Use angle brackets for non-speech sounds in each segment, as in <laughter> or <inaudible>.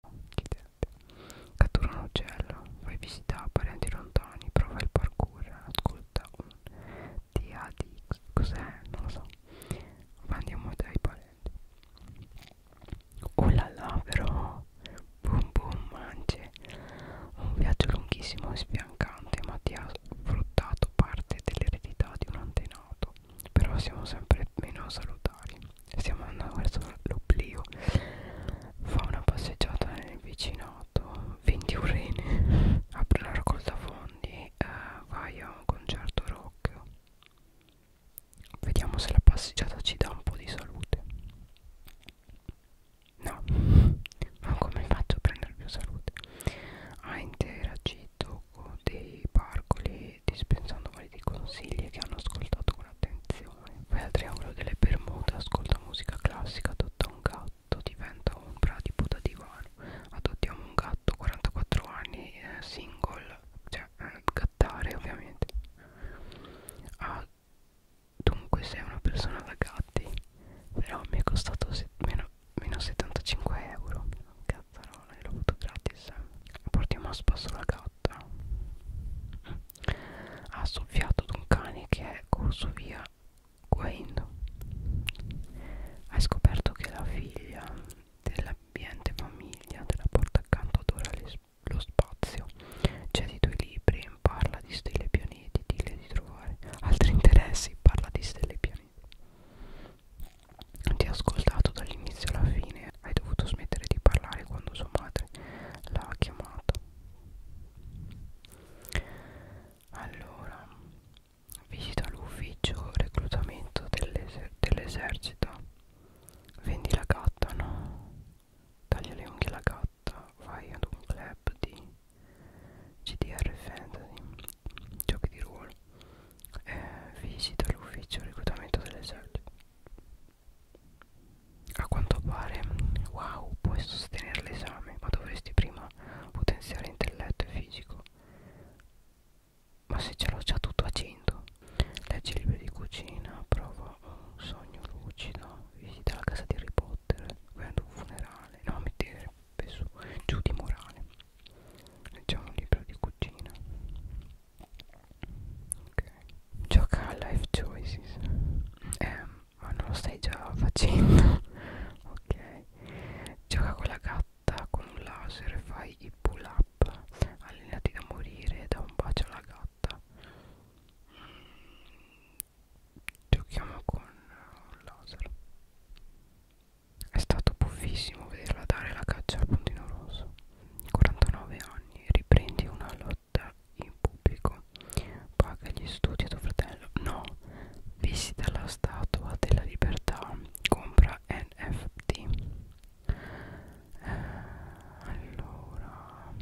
Incidente. Cattura un uccello, fai visita a parenti lontani, prova il parkour, ascolta un DAD. Cos'è? Non lo so. Ma andiamo dai parenti. Oh là là, però. Boom boom mance. Un viaggio lunghissimo e sfiancante, ma ti ha sfruttato parte dell'eredità di un antenato. Però siamo sempre meno salutari stiamo andando verso l'oblio fa una passeggiata nel vicinato 21 rene apre la raccolta fondi eh, vai a un concerto rock vediamo se la passeggiata ci dà un po' di salute no ma come faccio a prendere più salute ha interagito con dei parcoli dispensando validi consigli che hanno ascoltato con attenzione. Vai al triangolo eh, delle Bermuda, ascolta musica classica, adotta un gatto, diventa un pratipo da divano. Adottiamo un gatto, 44 anni, eh, single, cioè eh, gattare ovviamente. Ah, dunque sei una persona da gatti, però mi è costato meno, meno 75 euro. Cazzarola, io l'ho avuto gratis. Portiamo a spasso la gatta. Ha soffiato ad un cane che è corso via guaendo. Hai scoperto che la figlia dell'ambiente famiglia della porta accanto adora lo spazio. Cedi i tuoi libri, parla di stelle pianeti, dille di trovare altri interessi, parla di stelle pianeti ti ha ascoltato dall'inizio alla fine hai dovuto smettere di parlare quando sua madre l'ha chiamato allora visita l'ufficio reclutamento dell'esercito dell vendi la gatta no taglia le unghie alla gatta vai ad un club di GDR Fantasy giochi di ruolo eh, visita l'ufficio reclutamento dell'esercito a quanto pare wow puoi sostenere l'esame ma dovresti prima potenziare intelletto e fisico ma se ce l'ho già tutto a 100 leggi libri di cucina prova un sogno lucido visita la casa di Harry Potter vai ad un funerale no mi dire giù di morale leggiamo un libro di cucina ok gioca a life choices eh, ma non lo stai già facendo <laughs> ok gioca con la gatta con un laser fai i pull up allenati da morire da un bacio alla gatta giochiamo con un laser è stato buffissimo vederla dare la caccia al puntino rosso. 49 anni, riprendi una lotta in pubblico, paga gli studi a tuo fratello. No, visita la statua della libertà, compra NFT. Eh, allora,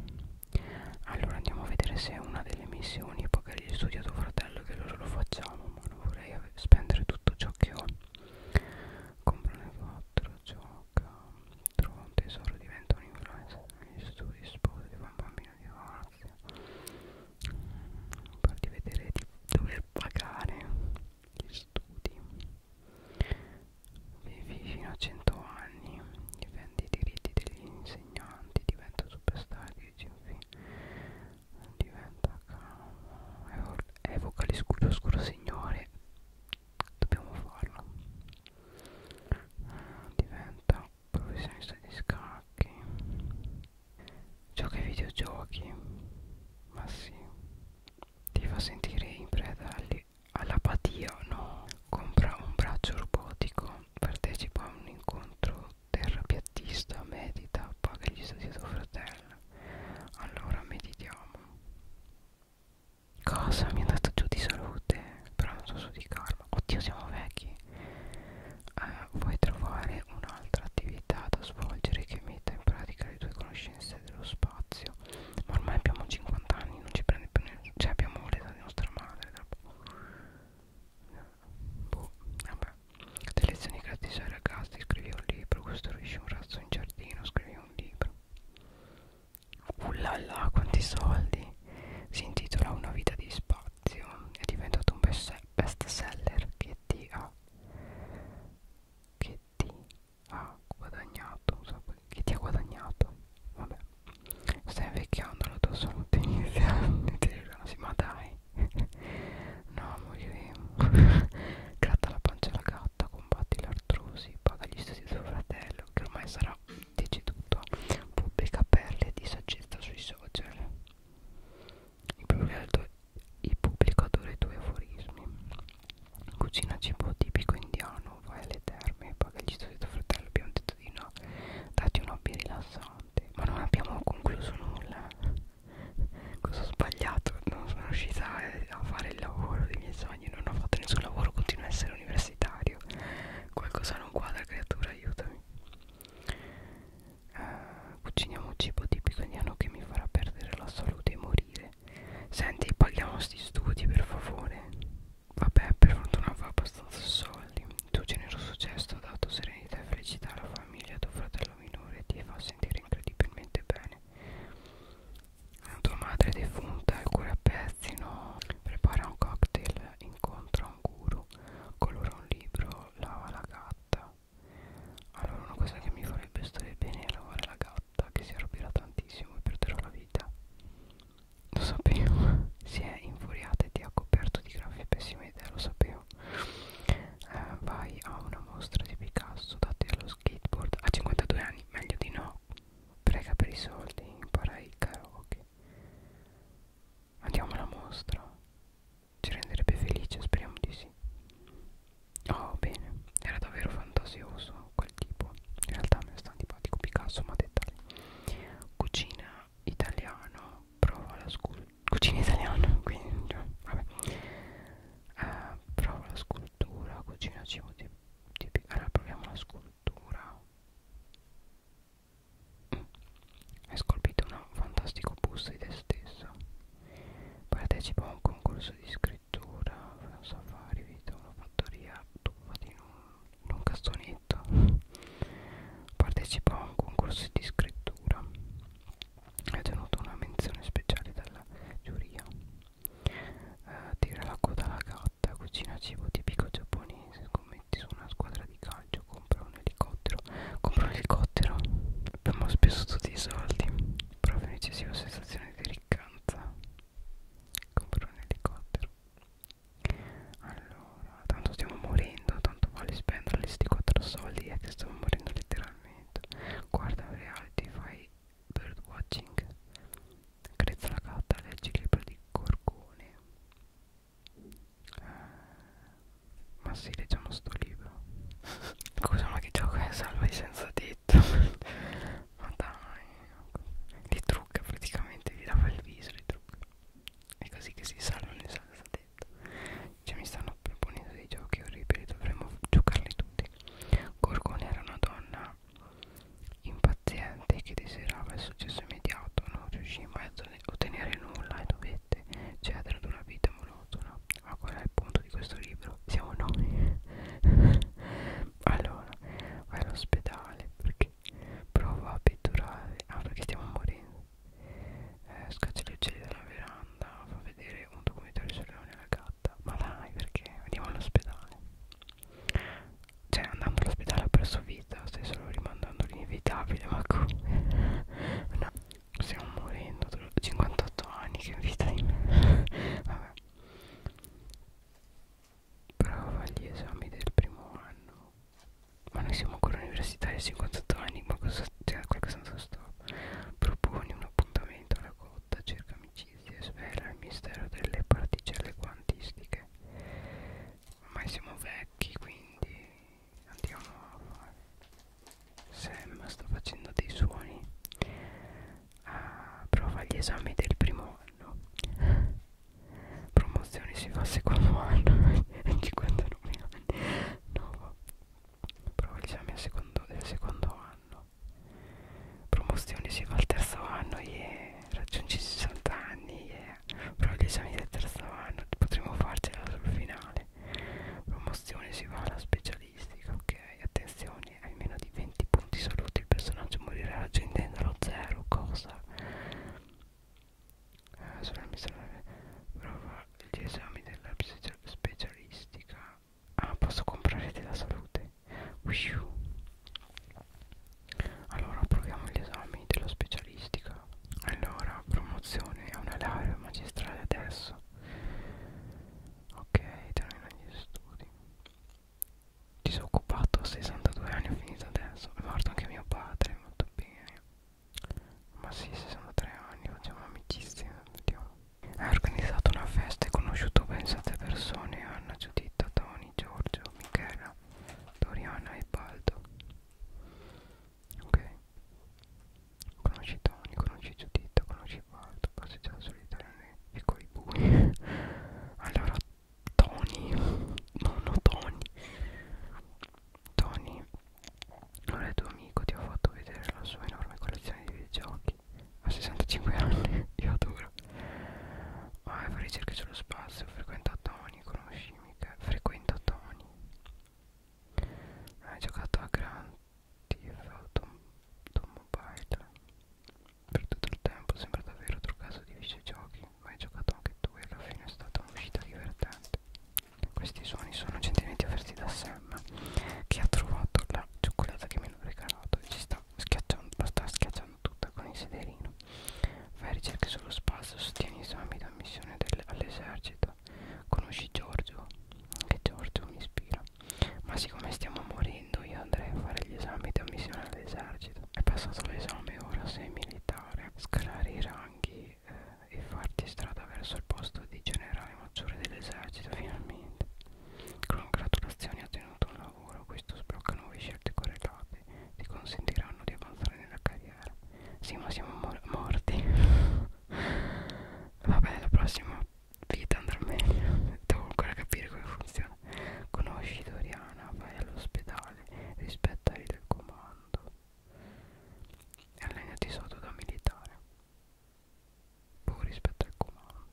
allora andiamo a vedere se è una delle missioni, paga gli studi a tuo fratello, che loro lo facciamo, ma non vorrei avere spendere tutto ciò che ho compro le 4 gioca trovo un tesoro diventa un influencer negli studi sposo di un bambino di Orazio farti vedere di dover pagare gli studi vivi fino a 100 anni difendi i diritti degli insegnanti diventa superstar di GV diventa calmo evoca l'oscuro signore dobbiamo farlo diventa professionista di scacchi gioca ai videogiochi ma sì ti fa sentire in preda all'apatia no compra un braccio robotico partecipa a un incontro terrapiattista medita, paga gli studi a tuo fratello. Allora meditiamo. Cosa? Mi è andato giù di salute, però non so su di karma. Oddio, siamo vecchi. Eh, vuoi trovare un'altra attività da svolgere che metta in pratica le tue conoscenze dello spazio? Ma ormai abbiamo 50 anni, non ci prende più nessuno. Cioè abbiamo l'età di nostra madre boh, vabbè te lezioni gratis ai ragazzi scrivi un libro costruisci un razzo in giardino scrivi un libro ullala quanti soldi si intitola una vita di spazio è diventato un best seller che ti ha che ti ha guadagnato so, che ti ha guadagnato vabbè stai invecchiando la tua salute <laughs> in fiamme ma dai no moriremo <laughs> gratta la pancia alla gatta combatti l'artrosi paga gli studi del suo fratello che ormai sarà deceduto pubblica perle di saggezza sui social il, pubblico, il pubblico adora i tuoi aforismi cucina cibo tipico indiano vai alle terme paga gli studi del tuo fratello abbiamo detto di no dati un hobby rilassante notte ma non abbiamo concluso nulla cosa ho sbagliato non sono riuscita a fare il lavoro dei miei sogni non ho fatto nessun lavoro continuo a essere universitario qualcosa non quadra creatura aiutami uh, cuciniamo cibo tipico indiano che mi farà perdere la salute e morire senti paghiamo sti studi per favore vabbè per fortuna fa abbastanza sole cavalli tuo generoso gesto ha dato serenità e felicità alla famiglia tuo fratello minore ti fa sentire incredibilmente bene tua madre defunta il cuore a pezzi no prepara un cocktail incontra un guru colora un libro lava la gatta allora una cosa che mi farebbe stare bene è lavare la gatta che si arrabbierà tantissimo e perderò la vita lo sapevo. <laughs> Si è infuriata e ti ha coperto di graffi. Pessima idea, lo sapevo. Eh, vai a una mostra di Picasso. Date allo skateboard. A 52 anni, meglio di no. Prega per i soldi. Impara il karaoke. Andiamo alla mostra. Ci renderebbe felice, speriamo di sì. Oh, bene. Era davvero fantasioso quel tipo. In realtà mi sta antipatico Picasso, ma dettagli. Cucina italiano provo la cucina italiana quindi cioè, vabbè eh, provo la scultura cucina cibo tipico allora proviamo la scultura mm. è scolpito un fantastico busto di te stesso partecipo a un concorso di scrittura un safari vita una fattoria tuffa in un, in un cassone scelta partecipò a un concorso di scrittura e ha ottenuto una menzione speciale dalla giuria eh, tira la coda alla gatta cucina cibo tipico giapponese scommetti su una squadra di calcio compra un elicottero compra un elicottero abbiamo speso tutti i soldi prova un'eccessiva sensazione di riccanza compra un elicottero allora tanto stiamo morendo tanto vale spendere questi 4 soldi è eh, che stiamo morendo letteralmente guarda un reality fai birdwatching crezza la gatta leggi il libro di Gorgone eh, ma si sì, leggiamo sto libro <laughs> scusa ma che gioco è salva senza tetto ma dai li trucca praticamente vi lava il viso li trucca è così che si salvano le salsa detto cioè mi stanno proponendo dei giochi orribili dovremmo giocarli tutti Gorgone era una donna impaziente che desiderava il successo immediato non riuscì mai a ottenere nulla e dovette cedere ad una vita monotona ma qual è il punto di questo libro? siamo noi <laughs> allora vai all'ospedale perché prova a pettorare ah perché stiamo morendo eh, scaccia le uccelli dalla veranda fa vedere un documentario sul leone alla gatta ma dai perché andiamo all'ospedale cioè andando all'ospedale ha perso vita stai solo rimandando l'inevitabile ma come <laughs> no stiamo morendo 58 anni che vita di me <laughs> vabbè Prova gli esami del primo anno. Ma noi siamo ancora universitari a 58 anni, ma cosa c'è? Cioè, qualcosa non sto. Proponi un appuntamento alla cotta, cerca amicizie, svela il mistero delle particelle quantistiche. Ormai siamo vecchi, quindi andiamo a fare. Sam sta facendo dei suoni ah, prova gli esami del primo anno promozione si fa al secondo anno 59 <laughs> anni no prova gli esami al secondo, del secondo anno promozione si fa al terzo anno yeah. raggiungi 60 anni yeah. prova gli esami del terzo anno potremo farcela sul finale promozione si va alla specialistica ok attenzione normale hai meno di 20 punti salute il personaggio morirà raggiungendo lo zero cosa eh, sulla missione prova gli esami della specialistica ah posso comprare della salute Uiu. allora proviamo gli esami della specialistica allora promozione a una laurea magistrale adesso ok termina gli studi disoccupato a 62 anni ho finito adesso è morto anche mio padre molto bene ma sì 63 anni facciamo amicizia vediamo. hai organizzato una festa e conosciuto ben 7 persone Anna, Giuditta, Tony, Giorgio, Michela, Doriana e Baldo ok conosci Tony, conosci Giuditta, conosci Baldo passeggiata certo, solitaria nei piccoli bui allora Tony nonno Tony Tony allora il tuo amico ti ha fatto vedere la sua enorme collezione di videogiochi a 65 anni <laughs> io adoro ah, fa ricerche sullo spazio frequenta Tony conosci mica frequenta Tony hai giocato a Gran TFO Tom, Tom Mobile per tutto il tempo sembra davvero otro caso di videogiochi ma hai giocato anche tu e alla fine è stata un'uscita divertente questi suoni sono gentilmente offerti da Sam che ha trovato la cioccolata che mi hanno regalato e ci sta schiacciando, la sta schiacciando tutta con il sederino fai ricerche sullo spazio sostieni esami d'ammissione all'esercito conosci Giorgio che Giorgio mi ispira ma siccome stiamo morendo io andrei a fare gli esami di ammissione all'esercito è passato l'esame ora sei militare scalare i ranghi eh, e farti strada verso il posto di generale maggiore dell'esercito finalmente congratulazioni ha ottenuto un lavoro questo sblocca nuove scelte correlate ti consentiranno di avanzare nella carriera sì ma siamo mor morti <laughs> vabbè la prossima vita andrà meglio devo ancora capire come funziona conosci Doriana vai all'ospedale rispetta il comando e allenati sotto da militare poi boh, rispetta il comando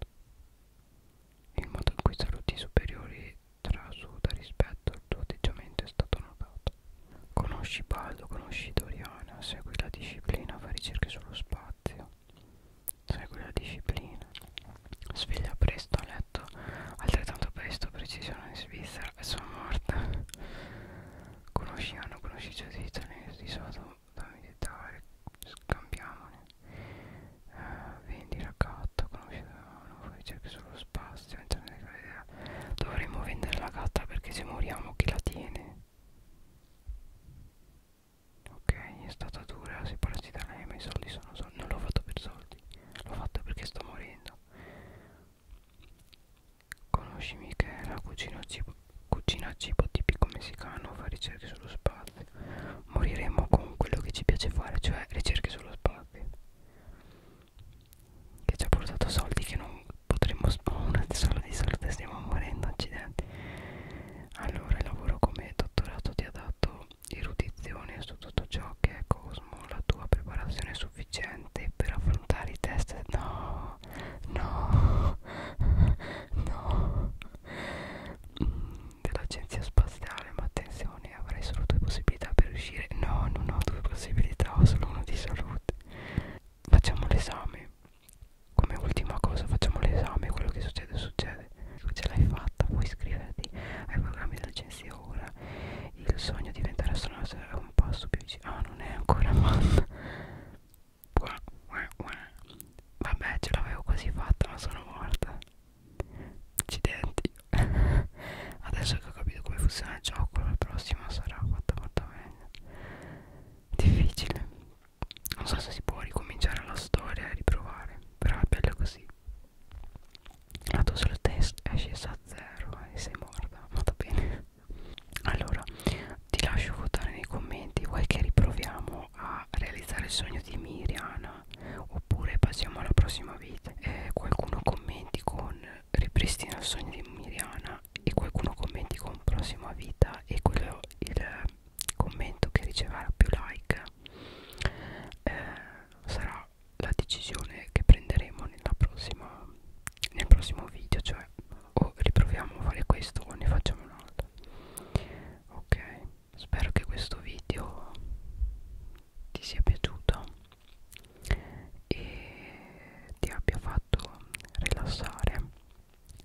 il modo in cui saluti superiori trasuda rispetto al tuo atteggiamento è stato notato conosci Baldo conosci Doriana segui la disciplina fai ricerche sullo spazio spazio segui cioè, la disciplina sveglia presto a letto altrettanto presto precisione in Svizzera e sono morta conosci hanno conosci di italiani sono da militare scambiamone uh, eh, vendi raccatta conosci non ricerchi sullo spazio internet dovremmo vendere la gatta perché se moriamo chi la tiene ok è stata dura separarsi da lei ma i soldi sono soldi non l'ho fatto per soldi l'ho fatto perché sto morendo conosci Michela cucina cibo, cucina cibo tipico messicano fa ricerche sullo spazio moriremo con quello che ci piace fare cioè ricerche sullo spazio che ci ha portato soldi che non, potremmo una solo di salute stiamo morendo accidenti allora lavoro come dottorato ti ha dato erudizione su tutto ciò che è cosmo la tua preparazione è sufficiente per affrontare i test no no no mm, dell'agenzia spaziale ma attenzione avrai solo due possibilità per uscire no non ho due possibilità ho solo uno di salute facciamo l'esame come ultima cosa facciamo l'esame quello che succede succede ce l'hai fatta puoi iscriverti ai programmi della Agenzia ora il sogno di diventare astronauta è un passo più vicino ah non è ancora fatta vabbè ce l'avevo quasi fatta ma sono morta accidenti <laughs> adesso che ho capito come funziona il gioco la prossima sarà fatta molto meglio difficile non so se si può ricominciare la storia e riprovare però è bello così la tua solo test è scesa a zero e sei morta ma va bene allora ti lascio votare nei commenti vuoi che riproviamo a realizzare il sogno di Miriana oppure passiamo alla prossima vita eh, qualcuno commenti con ripristina il sogno di Miriana e qualcuno commenti con prossima vita e quello il commento che riceverà più like eh, sarà la decisione che prenderemo nella prossima, nel prossimo video cioè o riproviamo a fare questo o ne facciamo un altro ok spero che questo video ti sia piaciuto e ti abbia fatto rilassare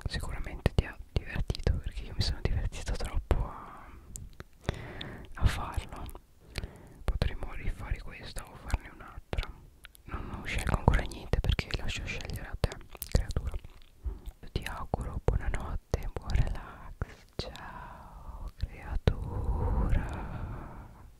sicuramente ti ha divertito perché io mi sono divertito troppo a, a farlo potremmo rifare questa o farne un'altra non, non scelgo ancora niente perché lascio scegliere a te creatura ti auguro buonanotte buon relax ciao creatura